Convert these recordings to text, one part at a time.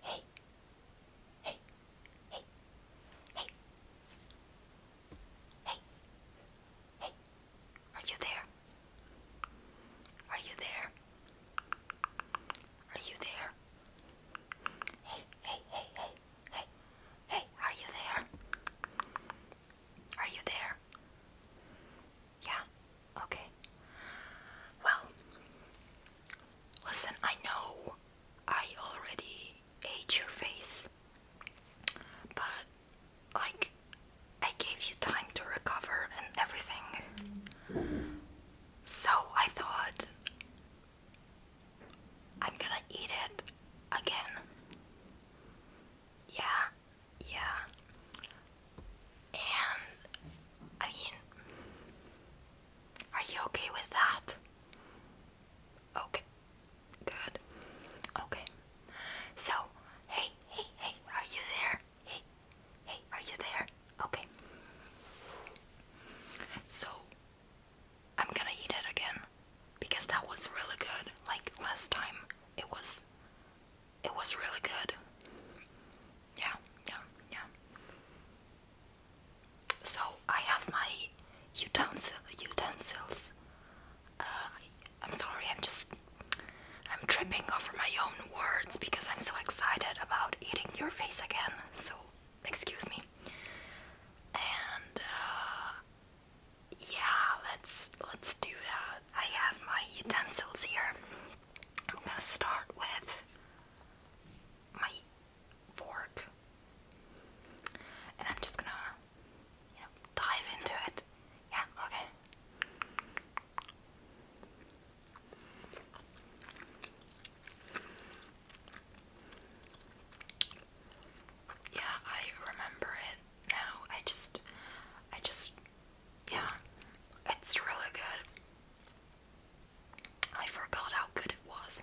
Hey, hey, hey, hey, hey, hey, are you there? Are you there? Are you there? Hey, hey, hey, hey, hey, hey, are you there? Are you there? Yeah, okay. Well, Listen, I know I already ate your face, but like I gave you time to recover and everything. So I thought I'm gonna eat it again. Yeah, yeah. And I are you okay with that? Okay. Good. Okay. So, hey, hey, hey, are you there? Hey, hey, are you there? Okay. So, I'm gonna eat it again because that was really good. Like last time, it was, it was really good yeah, yeah, yeah. So I have my utensils. Uh, I'm sorry, I'm just I'm tripping over my own words because I'm so excited about eating your face again. So excuse me. And uh, yeah, let's let's do that. I have my utensils here. I'm gonna start with my fork, and I'm just gonna, you know, dive into it. Yeah, okay. Yeah, I remember it now. I just, I just, yeah, it's really good. I forgot how good it was.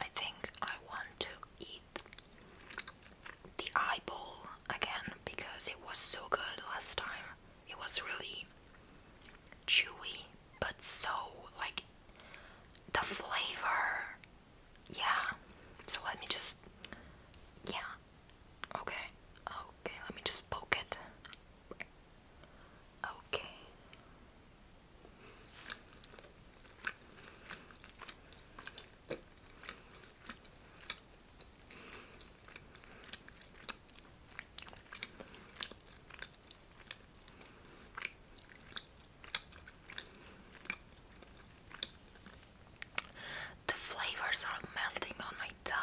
I think I want to eat the eyeball again because it was so good last time. It was really chewy, but so like the flavor. Yeah. So let me just. Yeah. Okay. Okay, let me just poke it. Okay. The flavors are melting on my tongue.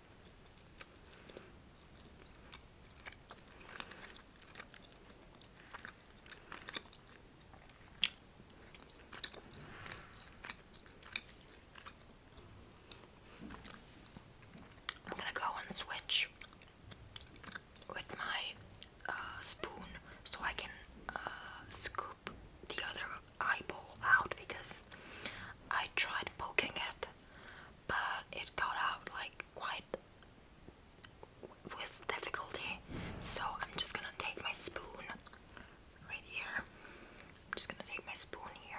I'm gonna go and switch with my uh, spoon so I can uh, scoop the other eyeball out because I tried poking it but it got out like quite with difficulty. So I'm just gonna take my spoon right here. I'm just gonna take my spoon here.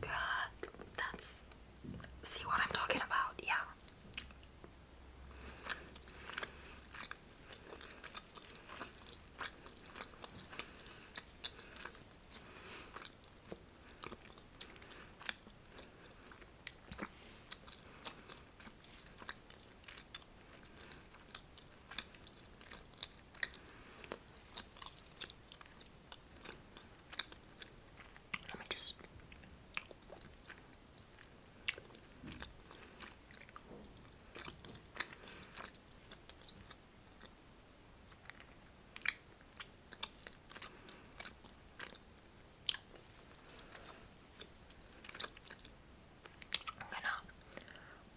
Good. That's see what I'm talking about, yeah. Let me just. I'm gonna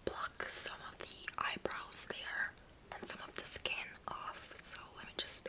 pluck some of the eyebrows there and some of the skin off. So let me just.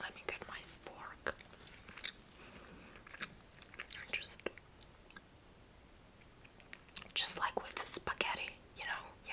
Let me get my fork just just like with spaghetti, you know, yeah.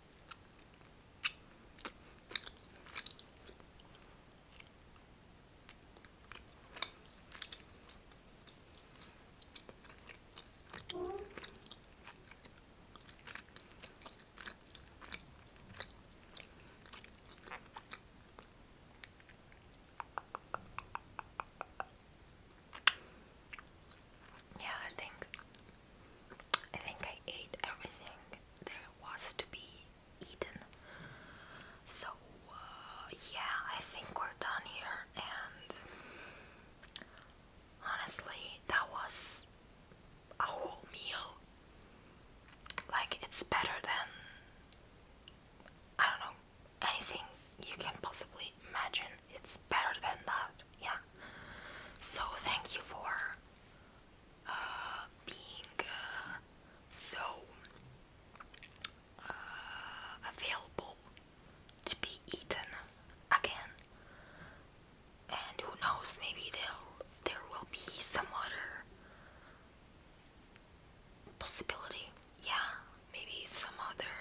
Yeah, I think I think I ate everything there was to be eaten. So, uh, yeah, I think we're done here. And honestly, that was a whole meal. Like, it's better than, I don't know, anything you can possibly imagine. It's better than that, yeah. So, thank you for uh, being uh, so uh, available to be eaten again. And who knows, maybe there there will be some other possibility. Yeah, maybe some other.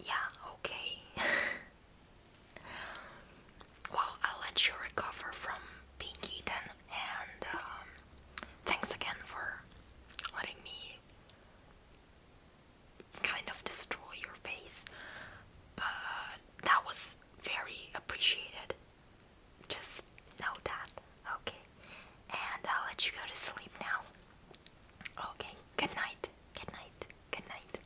Yeah, okay. Well, I'll let you recover from being eaten, and um, thanks again for letting me kind of destroy your face. But that was very appreciated. Just know that, okay? And I'll let you go to sleep now. Okay, good night, good night, good night.